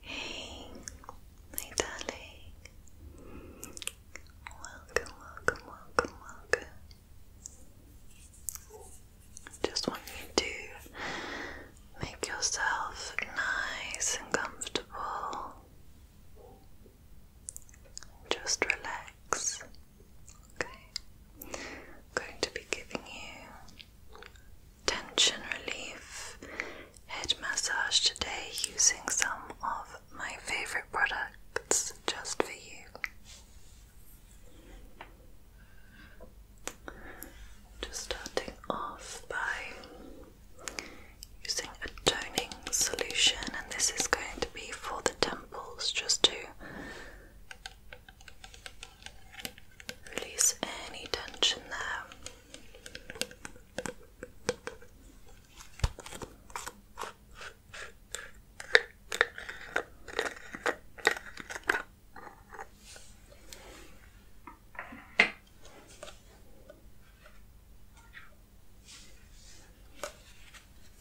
Hey, my darling. Welcome, welcome, welcome, welcome. Just want you to make yourself nice and comfortable. Just relax. Okay, going to be giving you tension relief head massage today using some of my favorite products just for you. Just starting off by using a toning solution, and this is going to be for the temples just to release any tension there.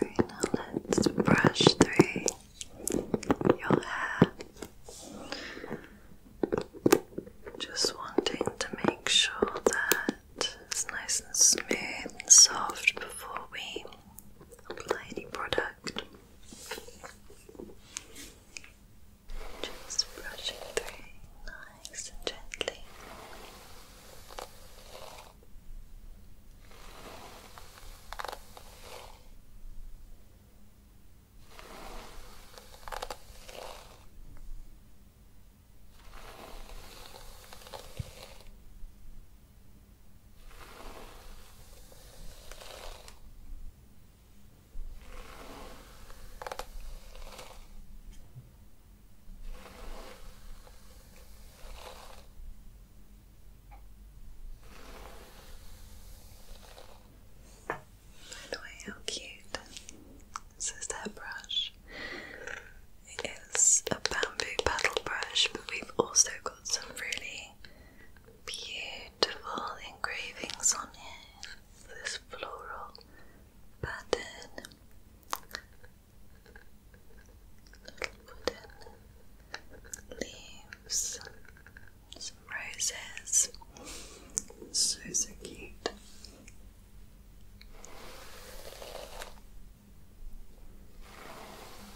now let's brush through your hair. Just wanting to make sure that it's nice and smooth and soft before we apply any product. Just brushing through nice and gently. By the way, how cute. This is their brush. It is a bamboo paddle brush, but we've also got some really beautiful engravings on it. This floral pattern, little wooden leaves, some roses. So, so cute.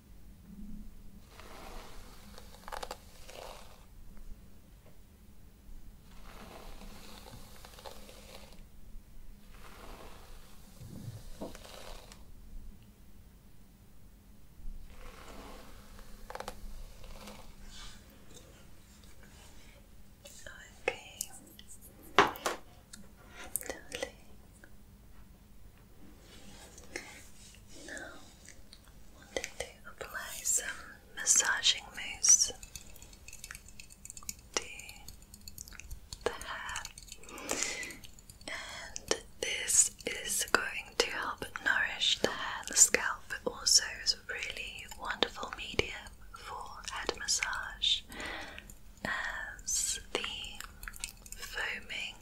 Okay, darling, now, wanting to apply some massaging mousse to the hair, and this is going to help nourish the hair and the scalp. It also is a really wonderful medium for head massage as the foaming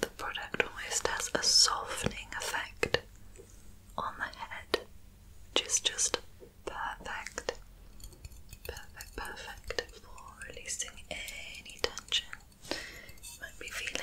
the product almost has a softening effect on the head, which is just perfect. Perfect, perfect for releasing any tension you might be feeling.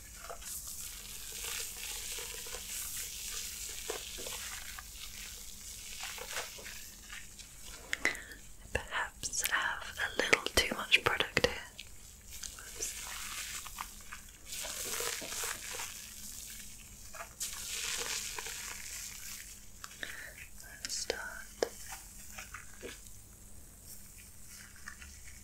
I perhaps have a little too much product here. Let's start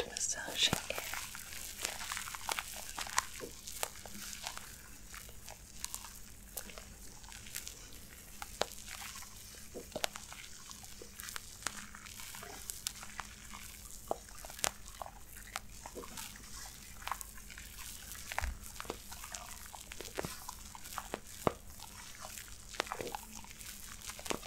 and massaging it. Good.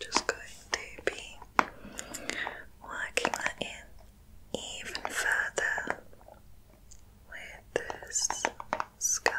Just going to be working that in even further with this scalp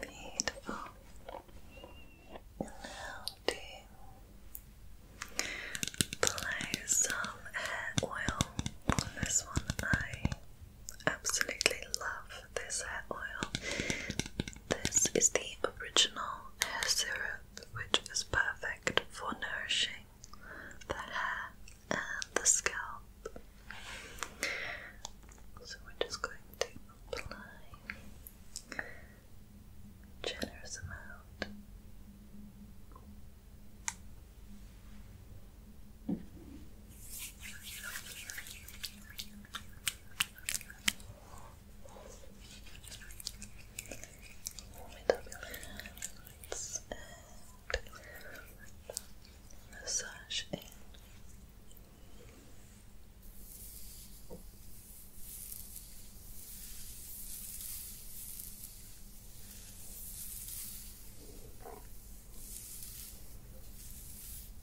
Beautiful. Now to some hair oil on this one eye absolutely love this hair oil. This is the original hair syrup, which is perfect for nourishing the hair and the scalp. So we're just going to apply generous amount up your and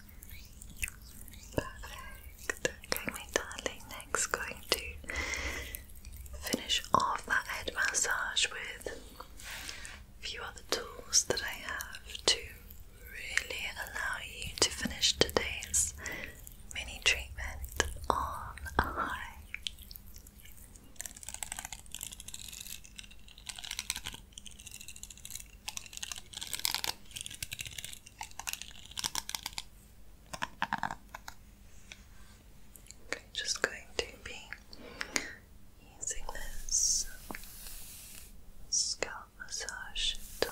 Perfect. my darling, next going to finish off that head massage with a few other tools that I have to really allow you to finish today's mini treatment on a high. Okay, just going to be using this scalp massage tool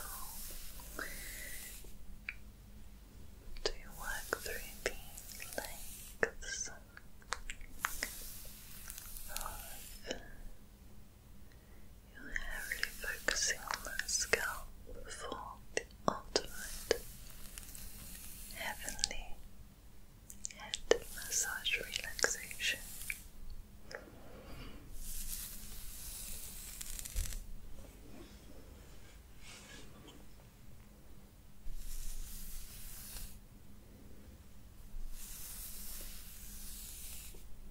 to work through the lengths of you're heavily focusing on the scalp before the ultimate heavenly head massage relaxation.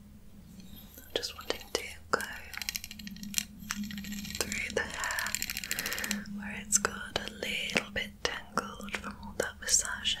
I'm just wanting to go through the hair where it's got a little bit tangled from all that massaging.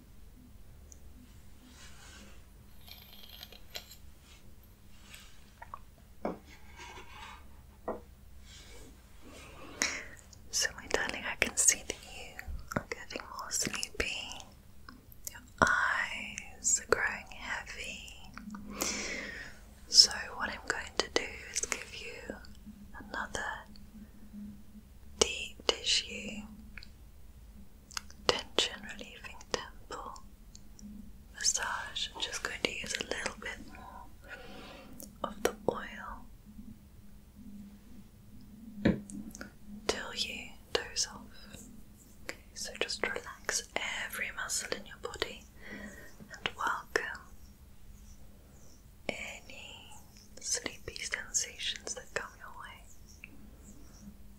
So, my darling, I can see that you are getting more sleepy. Your eyes are growing heavy. So, what I'm going to do is give you another deep tissue tension relieving temple massage. I'm just going to use a little bit more of the oil till you doze off. Okay, so just relax every muscle in your body and welcome any sleepy sensations that come your way.